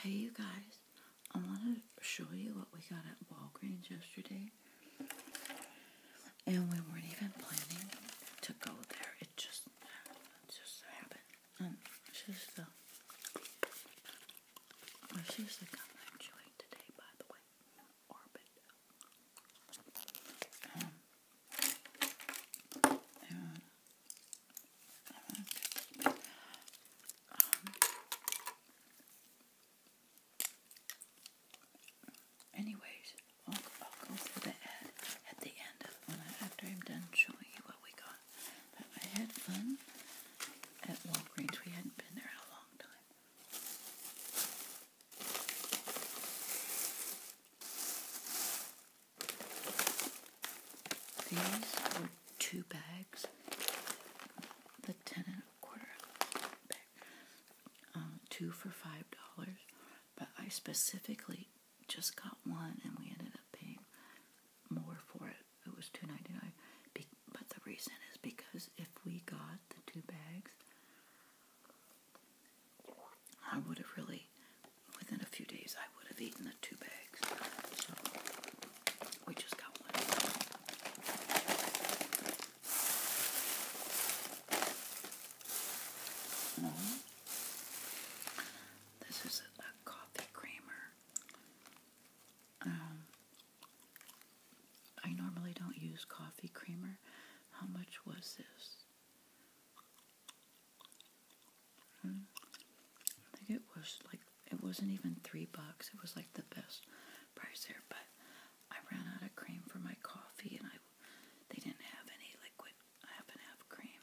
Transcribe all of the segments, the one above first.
Hey you guys, I want to show you what we got at Walgreens yesterday. And we weren't even planning to go there. It just, happened. And um, she's the, well, she's the gum I'm today, by the way. Um, anyways, I'll, go through the ad at the end of when after I'm done showing you what we got. I had fun at Walgreens. We hadn't been there in a long time. These were two bags. The ten and a quarter bag. Um, two for five dollars. But I specifically just got one and we ended up paying more for it. It was two ninety nine. but the reason is because if we got the two bags, I would have really within a few days, I would have eaten the two bags. So, we just got one. Mm-hmm. This is a, coffee creamer. Um, I normally don't use coffee creamer. How much was this? I think it was like it wasn't even three bucks. It was like the best price there. But I ran out of cream for my coffee, and I they didn't have any liquid. I happen to have cream.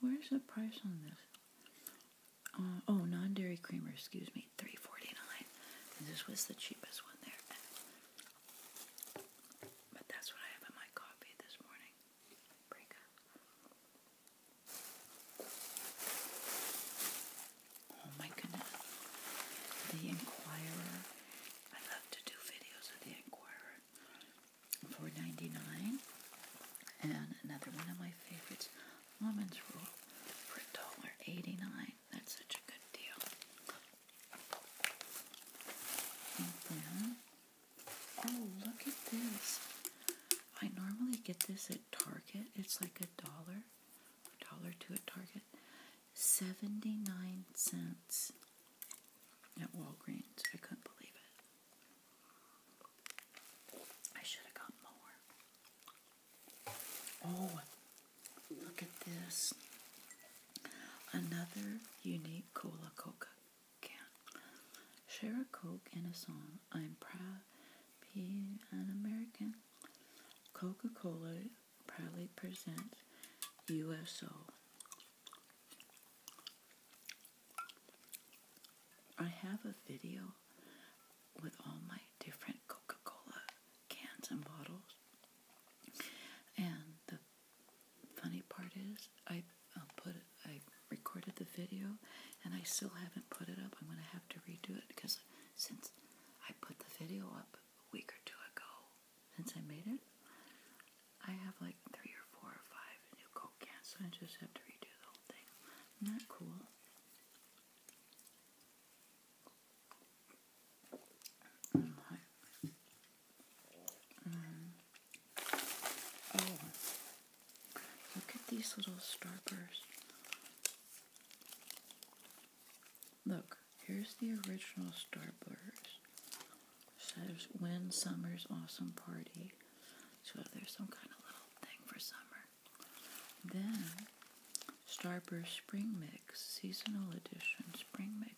Where's the price on this? Uh, oh, non-dairy creamer. Excuse me, three forty-nine. this was the cheapest one there. But that's what I have in my coffee this morning break Oh my goodness. The Inquirer. I love to do videos of the Inquirer. Four ninety nine, and another one of my favorites, Woman's Rule, for dollar eighty nine. That's such a good deal. And then Oh, look at this. I normally get this at Target. It's like a dollar, dollar to a Target. 79 cents at Walgreens. I couldn't believe it. I should have got more. Oh, look at this. Another unique cola can. Share a Coke and a song. I'm proud being an American. Coca Cola proudly presents USO. I have a video with all my different Coca Cola cans and bottles. And the Funny part is, I put I recorded the video, and I still haven't put it up. I'm gonna have to redo it because since I put the video up a week or two ago, since I made it, I have like three or four or five new Coke so I just have to redo the whole thing. Not cool. Mm, oh, look at these little starbursts. Look, here's the original starburst. Says when summer's awesome party. So there's some kind of little thing for summer. Then Starburst Spring Mix, Seasonal Edition Spring Mix.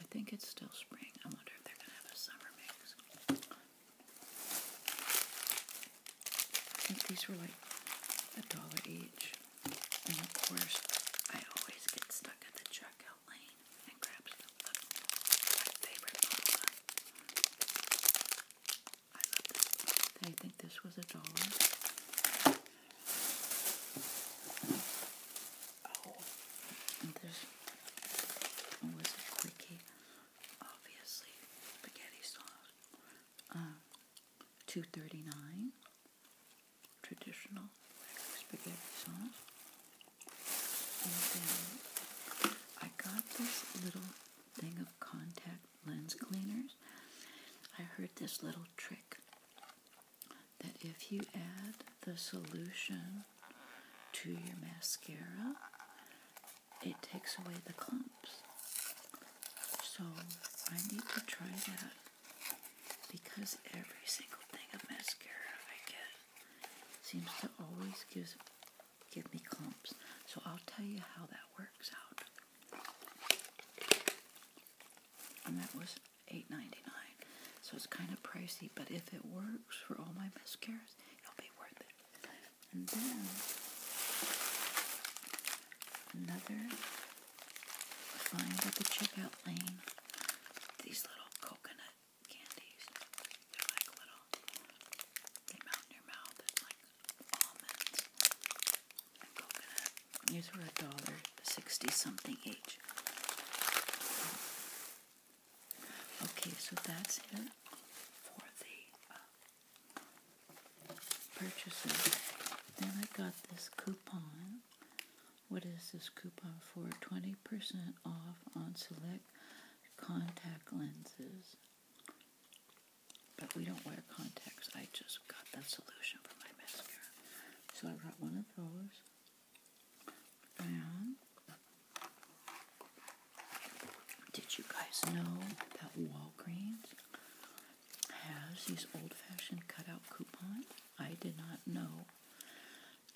I think it's still spring. I wonder if they're going to have a summer mix. these were like a dollar each. And of course, I always get stuck at the checkout lane and grab My favorite I think this was a dollar. Oh, there's always a quickie, obviously, spaghetti sauce. Um, two thirty nine, traditional spaghetti sauce, and then I got this little thing of contact lens cleaners. I heard this little trick that if you add the solution to your mascara, it takes away the clumps. So I need to try that because every single thing of mascara I get seems to always gives, give me clumps. So I'll tell you how that works out. And that was eight ninety nine. So it's kind of pricey, but if it works for all my mascaras, it'll be worth it. And then another find at the checkout lane. These little coconut candies. They're like little melt in your mouth. It's like almonds and coconut. These were a dollar. 60 something age. Okay, so that's it for the uh, purchases. Then I got this coupon. What is this coupon for? 20% off on select contact lenses. But we don't wear contacts. I just got that solution for my mascara. So I got one of those did you guys know that Walgreens has these old-fashioned cutout coupons? I did not know.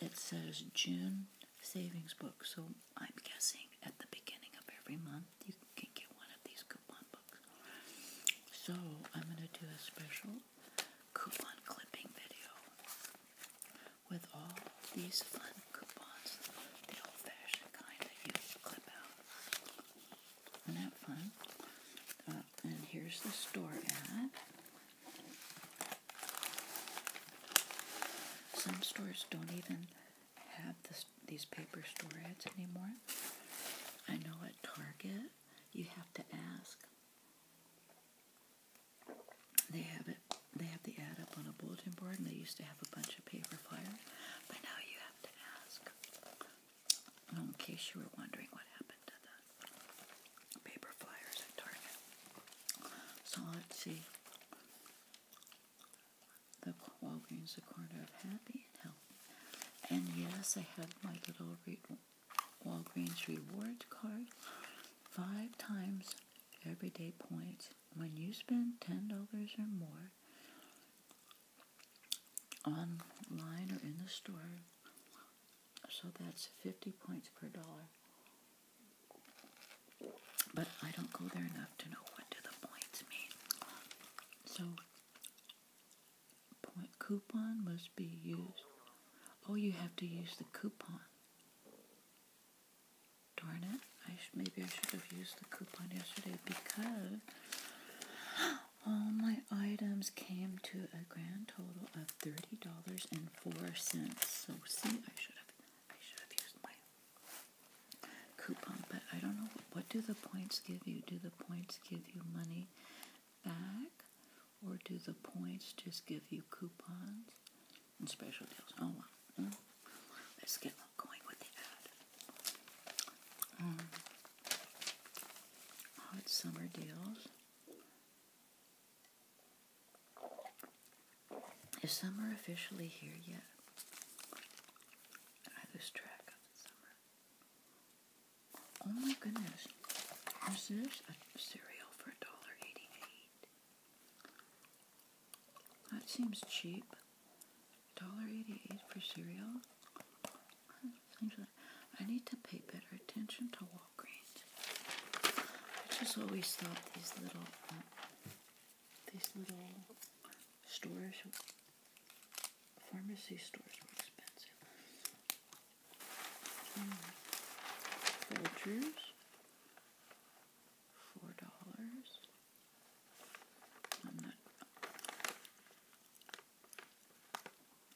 It says June savings book, so I'm guessing at the beginning of every month you can get one of these coupon books. So I'm going to do a special coupon clipping video with all these fun coupons, the old fashioned kind that you clip out. Isn't that fun? Uh, and here's the store ad. Some stores don't even have these paper store ads anymore. I know at Target you have to ask they have it. They have the ad up on a bulletin board, and they used to have a bunch of paper flyers. But now you have to ask. Um, in case you were wondering what happened to the paper flyers at Target. So let's see. The Walgreens, the corner of Happy and Healthy. And yes, I have my little read Walgreens Rewards card five times everyday points. When you spend $10 or more online or in the store, so that's 50 points per dollar. But I don't go there enough to know what do the points mean. So Point coupon must be used. Oh, you have to use the coupon. Darn it. I maybe I should have used the coupon yesterday because all my items came to a grand total of $30.04. So see, I should have I should have used my coupon, but I don't know what do the points give you? Do the points give you money back, or do the points just give you coupons and special deals? Oh, well. Hmm. Let's get going with the um, hot summer deals. Is summer officially here yet? I lose track of summer. Oh my goodness. This is a cereal for $1.88. That seems cheap. $1.88 for cereal? I need to pay better attention to Walgreens. I just always thought these little, um, these little stores, pharmacy stores were expensive. Folgers, four dollars. I'm not.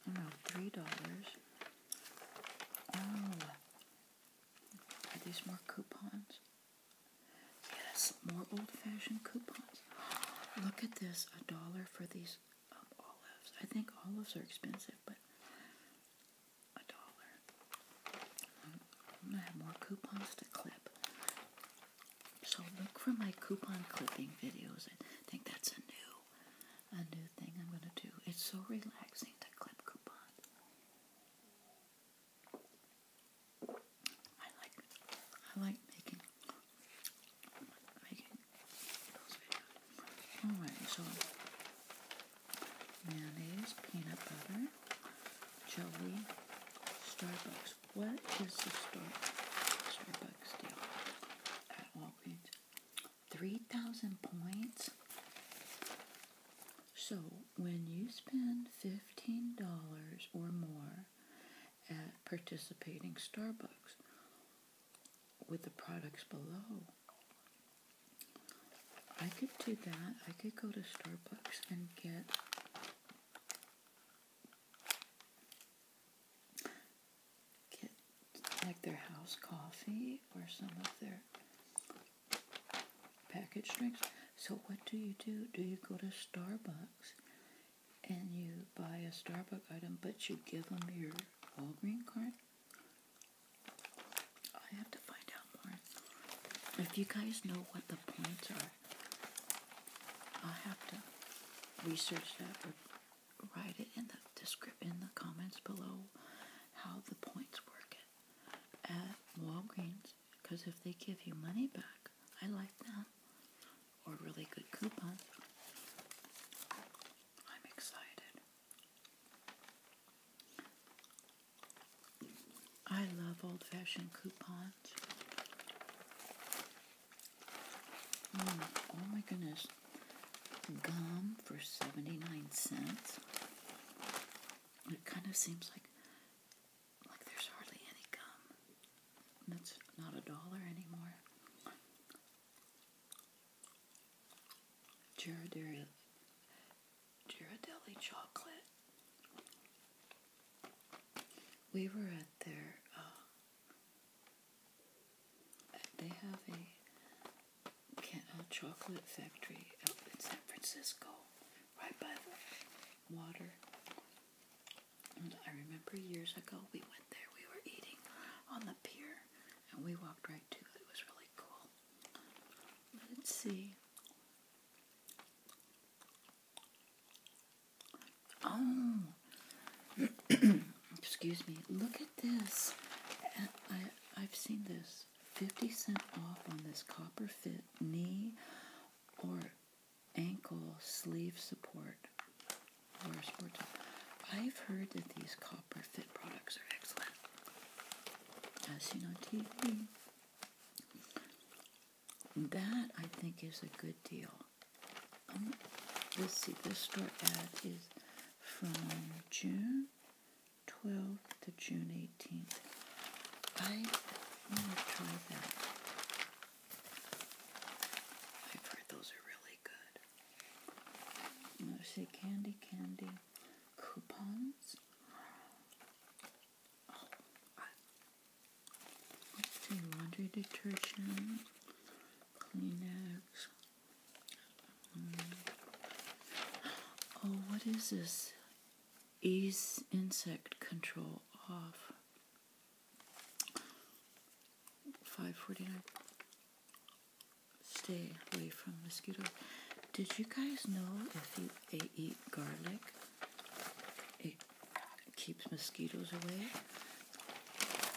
Oh no, three dollars. Oh, are these more coupons? Yes, more old-fashioned coupons. Look at this, a dollar for these um, olives. I think olives are expensive, but a dollar. I'm gonna have more coupons to clip. So look for my coupon clipping videos. I think that's a new, a new thing I'm gonna do. It's so relaxing to clip coupons. I like, I like making Alright, so mayonnaise, peanut butter, jelly, Starbucks. What is the star Starbucks deal at Walgreens? 3,000 points? So, when you spend $15 or more at participating Starbucks with the products below. I could do that. I could go to Starbucks and get get like their house coffee or some of their packaged drinks. So what do you do? Do you go to Starbucks and you buy a Starbucks item, but you give them your Walgreens card. I have to find out more. If you guys know what the points are, i have to research that or write it in the description in the comments below how the points work at, at Walgreens. Because if they give you money back, I like that or really good coupons. I'm excited. I love old fashioned coupons. Mm, oh my goodness. Gum for 79 cents. It kind of seems like like there's hardly any gum. That's not a dollar anymore. Ghirardelli, Ghirardelli chocolate. We were at their, uh, they have a chocolate factory up in San Francisco, right by the water. And I remember years ago we went there, we were eating on the pier, and we walked right to it. It was really cool. Let's see. Oh, excuse me. Look at this. Uh, I, I've seen this. 50 cent off on this copper fit knee or ankle sleeve support or sports. I've heard that these copper fit products are excellent, as seen on TV. That I think is a good deal. Um, let's see, this store ad is from June 12th to June 18th. I am going to try that. I've heard those are really good. Let's see, candy, candy coupons. Oh, let's see, laundry detergent, Kleenex. Mm. Oh, what is this? Ease insect control off. 5.49 stay away from mosquitoes did you guys know if you eat garlic it keeps mosquitoes away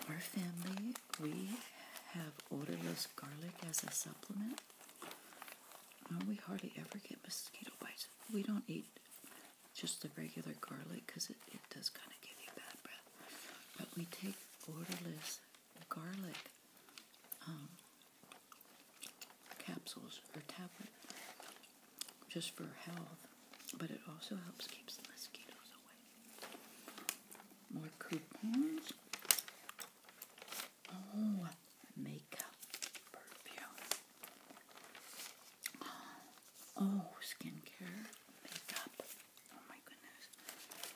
our family we have ordered this garlic as a supplement um, we hardly ever get mosquito bites we don't eat just the regular garlic because it, it does kind of give you bad breath. But we take odorless garlic um, capsules or tablet just for health, but it also helps keep the mosquitoes away. More coupons. Oh, makeup perfume. Oh, skincare, makeup. Oh my goodness.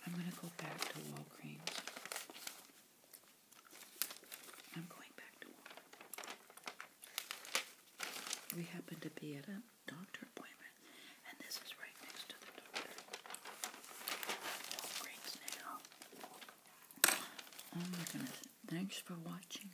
I'm going to go back to Walgreens. I'm going back to Walgreens. We happen to be at a doctor appointment, and this is right next to the doctor. Walgreens now. Oh my goodness. Thanks for watching.